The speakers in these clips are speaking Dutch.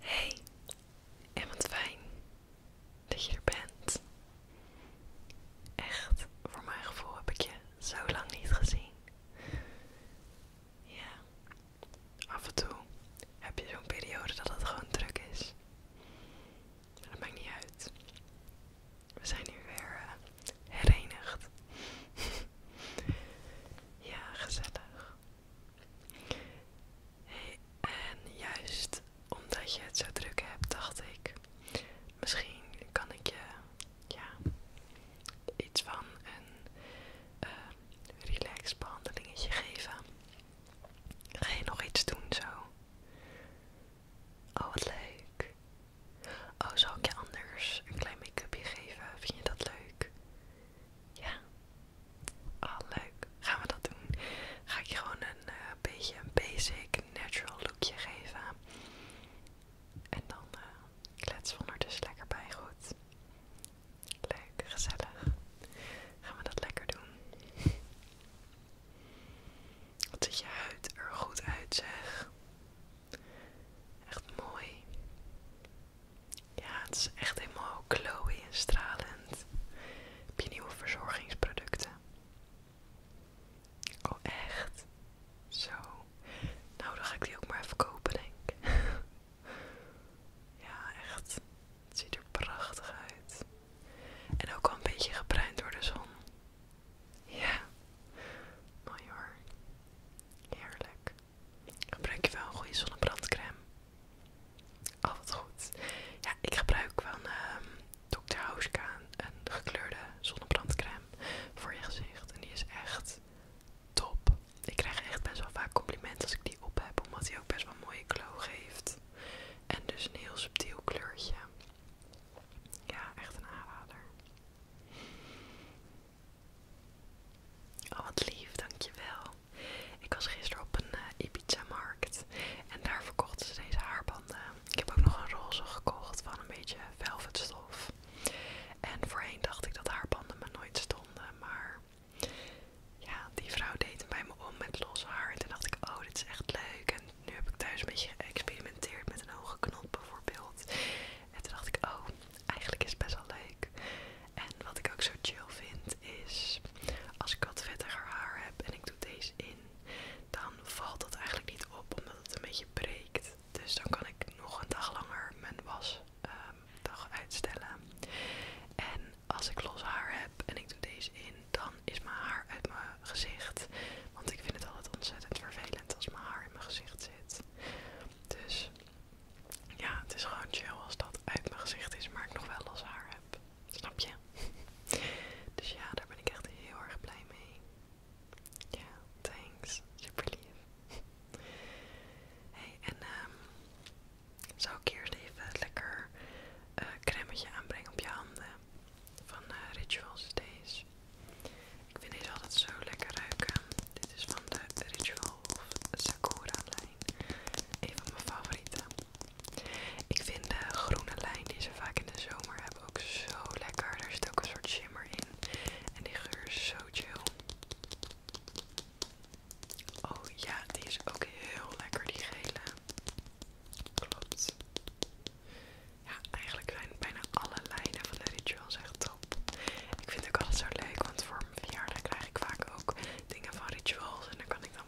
Hey, en wat fijn dat je er bent. Echt, voor mijn gevoel heb ik je zo lang niet gezien. Ja, af en toe heb je zo'n periode dat het gewoon druk is. Maar dat maakt niet uit. We zijn hier weer eh, herenigd. ja, gezellig. En juist omdat je het zo druk hebt, dacht ik, misschien kan ik je ja, iets van een uh, eh, relax behandelingetje geven. Ga je nog iets doen zo? Oh, wat leuk. Oh, zal ik je anders een klein make-upje geven? Vind je dat leuk? Ja, Ah, leuk. Gaan we dat doen? Ga ik je gewoon een eh, beetje een basic natural lookje geven. En dan eh, kletsen we dus lekker bij. Goed. Leuk, gezellig. Gaan we dat lekker doen? Wat je huid er goed uit, zeg. Echt mooi. Ja, het is echt helemaal glowy en stralend. Heb je nieuwe verzorgingsproducten? Oh, echt? Zo. Nou, dan ga ik die ook maar even kopen, denk ik. ja, echt. Het ziet er prachtig uit. En ook al een beetje gebruind door de zon. Ja. Mooi hoor. Heerlijk. Gebruik je wel een goede zonnebrandcrème? Oh, Altijd goed. Ja, ik gebruik van ehm, Dr. Hauschka een gekleurde zonnebrandcrème voor je gezicht. En die is echt top. Ik krijg echt best wel vaak complimenten als ik die op heb, omdat die ook best wel mooie glow geeft. En dus een heel subtiel kleurtje. Ja, echt een aanrader. Oh, wat lief, dankjewel. Ik was gisteren op een uh, eh, markt en daar verkochten ze deze haarbanden. Ik heb ook nog een roze gekocht van een beetje velvetstof. En voorheen dacht ik dat haarbanden me nooit stonden, maar ja, die vrouw deed hem bij me om met los haar. En toen dacht ik, oh, dit is echt leuk. En nu heb ik thuis een beetje geëxperimenteerd met een hoge knop bijvoorbeeld. En toen dacht ik, oh, eigenlijk is het best wel leuk. En wat ik ook zo chill vind is, als ik wat vettiger haar heb en ik doe deze in, dan valt dat eigenlijk niet op omdat het een beetje breekt. Dus dan kan ik nog een dag langer mijn wasdag ehm, uitstellen. En als ik los haar heb en ik doe deze in, dan is mijn haar uit mijn gezicht. Want ik vind het altijd ontzettend vervelend als mijn haar in mijn gezicht zit. Dus ja, het is gewoon chill als dat uit mijn gezicht is, maar ik nog wel los haar heb. Snap je? Dus ja, daar ben ik echt heel erg blij mee. Ja, thanks. Super lief. Hey, en ehm, zou ik eerst even lekker uh, aanbrengen op je handen van eh, Rituals Days. Ik vind deze altijd zo lekker ruiken. Dit is van de Rituals. Of Sakura lijn. Een van mijn favorieten. Ik vind de groene lijn die ze vaak in de zomer hebben ook zo lekker. Daar zit ook een soort shimmer in. En die geur is zo chill. Oh ja, die is ook heel lekker, die gele. Klopt. Ja, eigenlijk zijn bijna alle lijnen van de rituals echt top. Ik vind ook altijd zo leuk, want voor mijn verjaardag krijg ik vaak ook dingen van rituals. En daar kan ik dan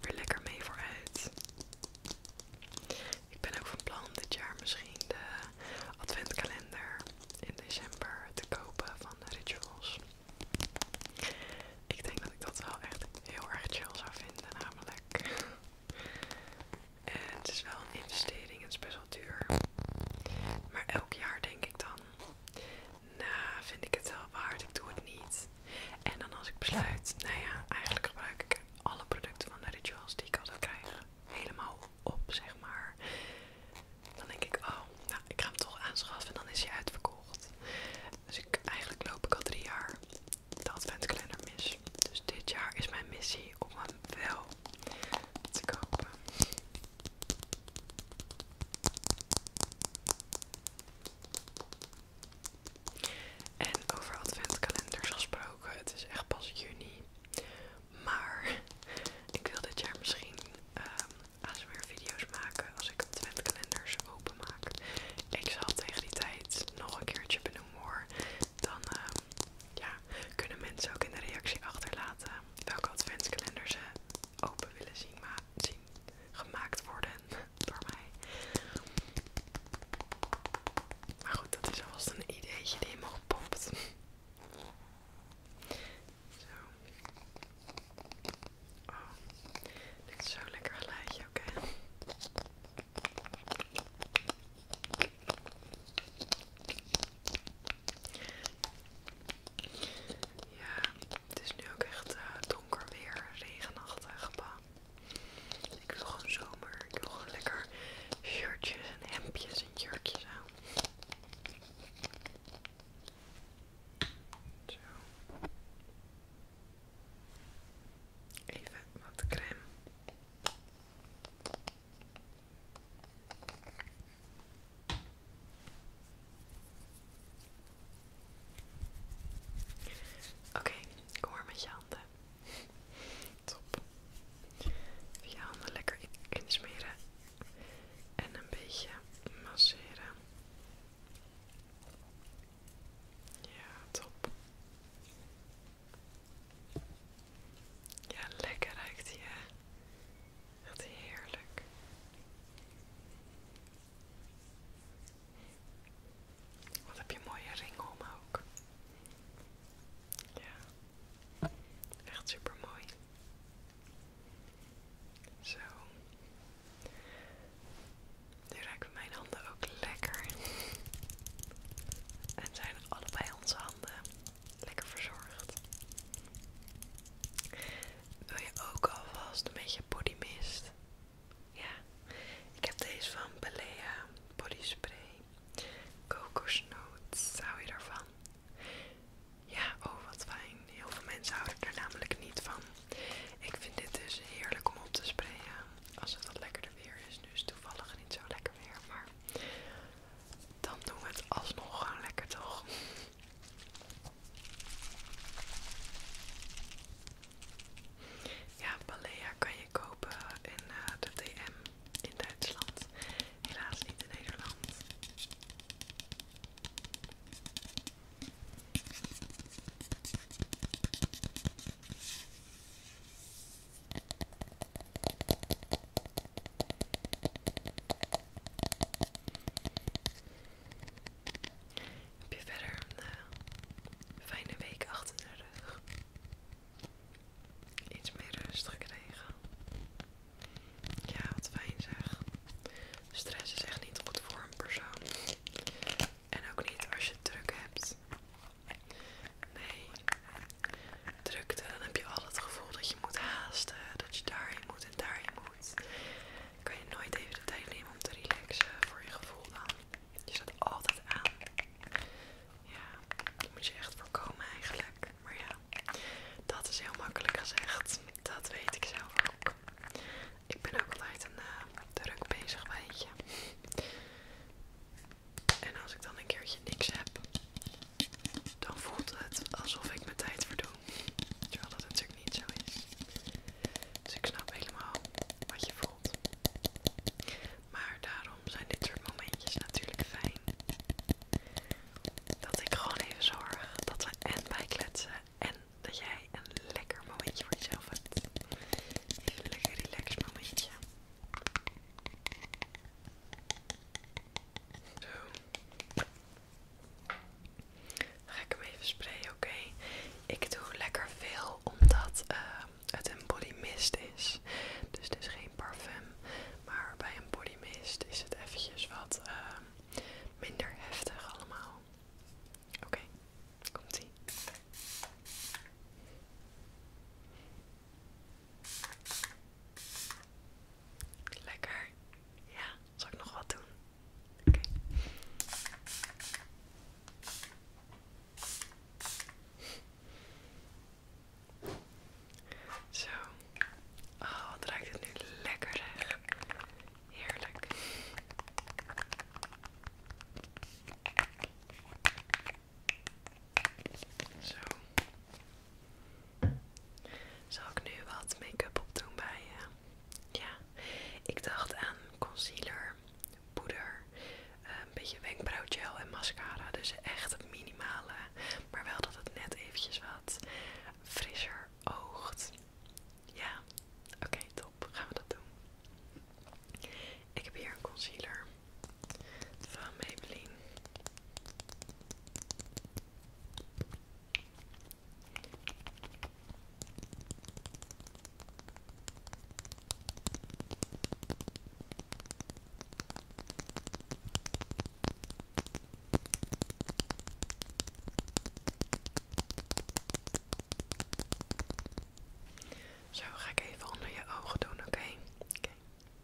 weer lekker mee vooruit. Ik ben ook van plan dit jaar misschien de adventkalender in december te kopen van de rituals. Ik denk dat ik dat wel echt heel erg chill zou vinden, namelijk. het is wel een investering, het is best wel duur. Maar elk jaar denk ik dan, nou vind ik het wel waard, ik doe het niet. En dan als ik besluit, nou ja, eigenlijk gebruik ik alle producten van de rituals die ik altijd krijg helemaal op, zeg maar. Dan denk ik, oh, nou, ik ga hem toch aanschaffen en dan is hij uitverkocht. Dus eigenlijk loop ik al drie jaar de adventkalender mis. Dus dit jaar is mijn missie om hem wel te kopen. En over adventkalenders gesproken, het is echt pas juni. Maar ik wil dit jaar misschien um, ehm, ASMR video's maken als ik adventkalenders openmaak. Ik zal tegen die tijd nog een keertje benoemen hoor. Dan ehm, kunnen mensen ook in de reactie achterlaten welke adventskalender eh, ze open willen zien, maar zien gemaakt worden door mij. Maar goed, dat is alvast een ideetje die in popt. gepopt. Zo. Oh, dit is lekker geluidje, oké. Ja, het is nu ook echt eh, donker weer, regenachtig. Bah. Ik wil gewoon zomer. Ik wil gewoon lekker shirtjes en hemdjes en jurkjes aan. Zo. Even wat crème. Oké, kom maar met je handen. Top. Even je handen lekker insmeren en een beetje masseren. Ja, top. Ja, lekker ruikt wat heerlijk. Wat heb je een mooie ring om ook. Ja, echt super mooi. Zo. Nu ruiken mijn handen ook lekker. En zijn allebei onze handen lekker verzorgd. Wil je ook alvast een beetje body mist? Ja, ik heb deze van Balea Body Spray. Kokosnoot, hou je daarvan? Ja, oh wat fijn. Heel veel mensen houden er namelijk niet van. Ik vind dit dus heerlijk om op te sprayen. Als het wat lekkerder weer is. Nu is het toevallig niet zo lekker weer, maar dan doen we het alsnog gewoon lekker toch? Ja, Balea kan je kopen in eh, de DM in Duitsland. Helaas niet in Nederland. Heb je verder een eh, fijne week achter de rug? Iets meer rust gekregen. Ja, wat fijn zeg. Stress is echt niet goed voor een persoon. En ook niet als je druk hebt. Nee, drukte, dan heb je al het gevoel dat je moet haasten, dat je daarheen moet en daarheen moet. Dan kan je nooit even de tijd nemen om te relaxen voor je gevoel dan. Je staat altijd aan. Ja, dat moet je echt voorkomen eigenlijk. Maar ja, dat is heel makkelijk gezegd. Dat weet ik zelf ook. Ik ben ook altijd een eh, druk bezig, weet je. En als ik dan een keertje niks heb, dan voelt het alsof ik mijn tijd verdoen. Terwijl dat natuurlijk niet zo is. Dus ik snap helemaal wat je voelt. Maar daarom zijn dit soort momentjes natuurlijk fijn. Dat ik gewoon even zorg dat we en kletsen en dat jij een lekker momentje voor jezelf hebt. Even een lekker relaxed momentje. Zo. ga ik hem even sprayen, oké? Ik doe lekker veel omdat ehm, het een body mist is. Dus het is geen parfum. Maar bij een body mist is het eventjes wat ehm, minder heftig allemaal. Oké, komt ie. Lekker. Ja, zal ik nog wat doen? Oké. Zo. Oh, wat ruikt het nu lekker, hè? Heerlijk. Zo. Zal ik nu wat make-up opdoen bij eh, Ja, ik dacht aan concealer, poeder, eh, een beetje wenkbrauwgel en mascara. Dus echt het minimale, maar wel dat het net eventjes wat frisser oogt. Ja, oké, top. Gaan we dat doen. Ik heb hier een concealer van Maybelline. Zo ga ik even onder je ogen doen, oké?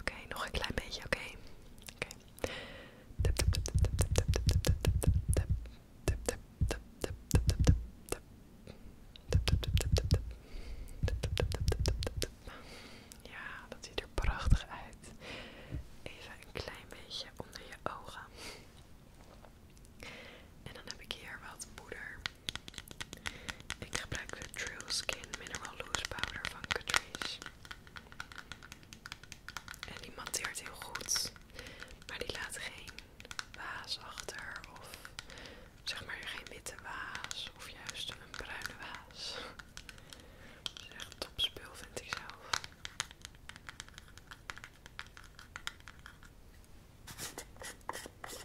Oké, nog een klein beetje, oké. Ja, dat ziet er prachtig uit. Even een klein beetje onder je ogen. En dan heb ik hier wat poeder. Ik gebruik de True Skin Mineral Loose Powder van Catrice. En die matteert heel goed, maar die laat geen waas achter of zeg maar geen witte waas of juist een bruine waas. Dat is echt topspul vind ik zelf. Zo.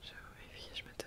Zo, eventjes met de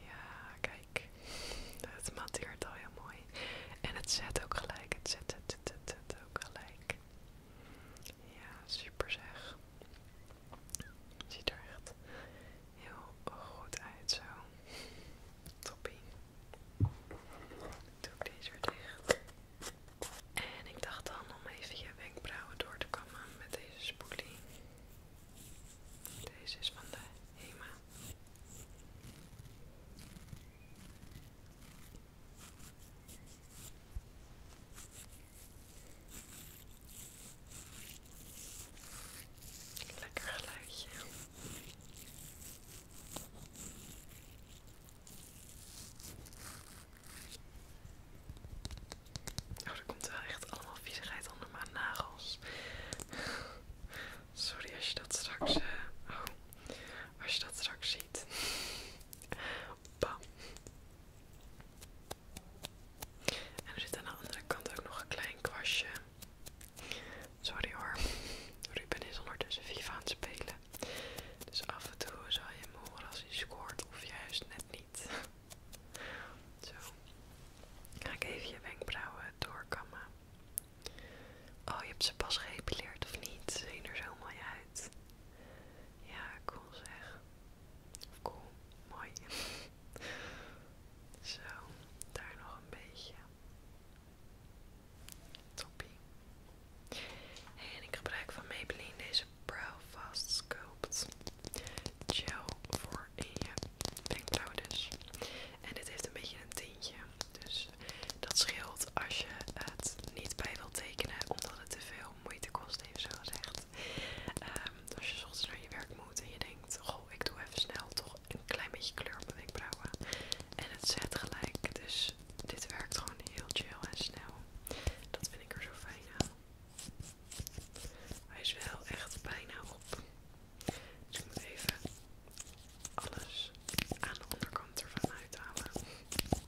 Ja, kijk. Het matteert al heel mooi. En het zet ook gelijk. Het zet, het, het, het, ook gelijk. Ja, super zeg. Ziet er echt heel goed uit zo. Toppie. Doe ik deze weer dicht. En ik dacht dan om even je wenkbrauwen door te komen met deze spoelie. Deze is van de HEMA. Lekker geluidje. Oh, komt wel echt allemaal viezigheid onder mijn nagels. Sorry als je dat straks... Eh, oh, als je dat straks ziet. Bam. En er zit aan de andere kant ook nog een klein kwastje. Sorry hoor. Ruben is ondertussen FIFA aan het spelen. Dus af en toe zal je hem als hij scoort of juist net niet. Zo. Ga ik even je wenkbrauwen doorkammen. Oh, je hebt ze pas geëpileerd of niet? Ze zien er zo mooi uit. Ja, cool zeg. Of cool, mooi. zo, daar nog een beetje. Toppie. en ik gebruik van Maybelline deze Brow Fast Sculpt. Chill voor in je wenkbrauwen. Dus. En dit heeft een beetje een tintje. Dus dat scheelt als je het niet bij wil tekenen omdat het te veel moeite kost, even zo gezegd. Ehm, als je soms naar je werk moet en je denkt, goh, ik doe even snel toch een klein beetje kleur op mijn wenkbrauwen. En het zet gelijk, dus dit werkt gewoon heel chill en snel. Dat vind ik er zo fijn aan. Hij is wel echt bijna op. Dus ik moet even alles aan de onderkant ervan uithalen. Zo.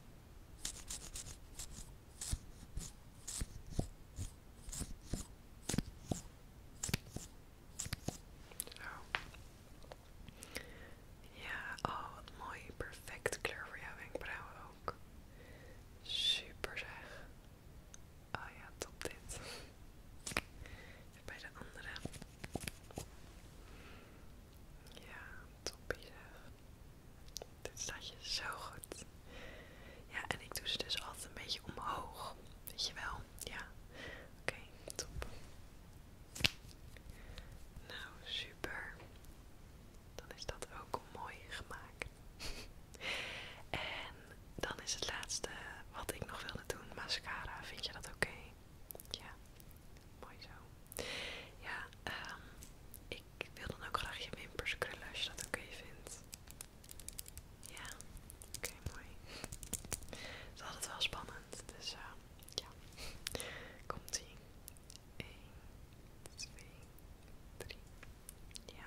Ja, oh wat mooi. Perfecte kleur voor jouw wenkbrauwen ook. Super zeg. Oh ja, top dit. bij de andere. Ja, topie Dit staat je zo goed. Ja, en ik doe ze dus altijd een beetje omhoog. Weet je wel? Ja. Oké, top. Nou, super. Dan is dat ook mooi gemaakt. en dan is het laatste wat ik nog wilde doen, mascara. Vind je dat oké? Ja, mooi zo. Ja, ehm, ik wil dan ook graag je wimpers krullen als je dat oké vindt. Ja, oké, mooi. Het is altijd wel spannend, dus eh, ja. Komt-ie. 1, 2, 3. Ja,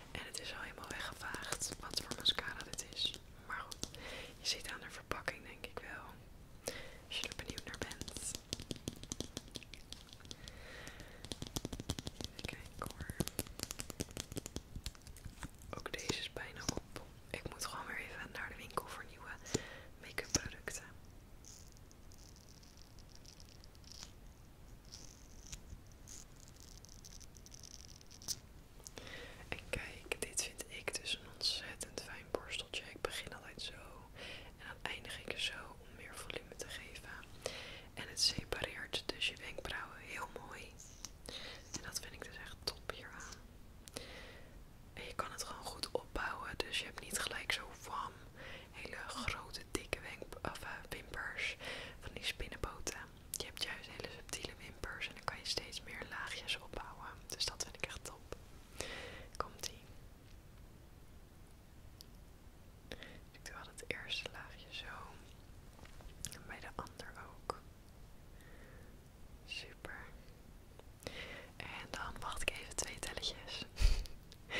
En het is al helemaal weggevaagd wat voor mascara dit is. Maar goed, je ziet aan de verpakking denk ik wel. Als je er benieuwd naar bent. Even kijken hoor. Ook deze is bijna op. Ik moet gewoon weer even naar de winkel voor nieuwe make-up producten. En kijk, dit vind ik dus een ontzettend fijn borsteltje. Ik begin altijd zo en dan eindig ik zo om meer volume te geven. En het separeert dus je wenkbrauwen heel mooi. En dat vind ik dus echt top hieraan. En je kan het gewoon goed opbouwen, dus je hebt niet gelijk zo warm hele grote, dikke of, eh, wimpers van die spinnenboten. Je hebt juist hele subtiele wimpers en dan kan je steeds meer laagjes opbouwen. Dus dat vind ik echt top. Komt-ie. Dus ik doe al het eerste laagje zo. En bij de ander ook. Super. En dan wacht ik even twee telletjes.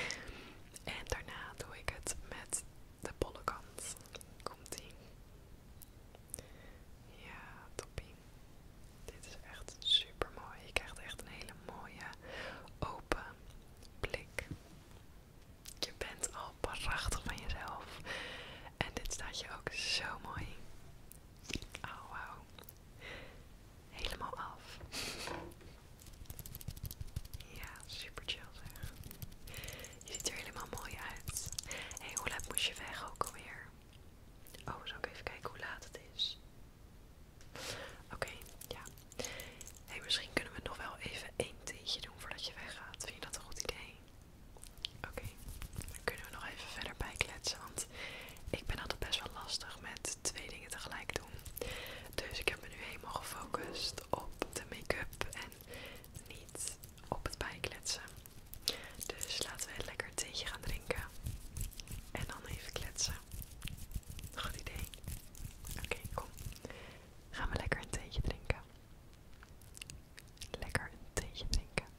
en daarna doe ik het met de bolle kant. Komt in Ja, toppie. Dit is echt super mooi. Je krijgt echt een hele mooie open blik. Je bent al prachtig van jezelf. En dit staat je ook zo mooi. Oh, wauw. Helemaal af. Ja, super chill zeg. Je ziet er helemaal mooi uit. Hé, hey, hoe laat moest je weg ook alweer? Oh, we zal ook even kijken hoe laat het is? Oké, ja. Hey, misschien kunnen we nog wel even één theetje doen voordat je weggaat. Vind je dat een goed idee? Oké, dan kunnen we nog even verder bijkletsen. Want ik ben altijd best wel lastig met twee dingen tegelijk doen. Dus ik we hebben nu helemaal gefocust op de make-up en niet op het bijkletsen. Dus laten we lekker een theetje gaan drinken en dan even kletsen. Goed idee. Oké, kom. Gaan we lekker een theetje drinken. Lekker een theetje drinken.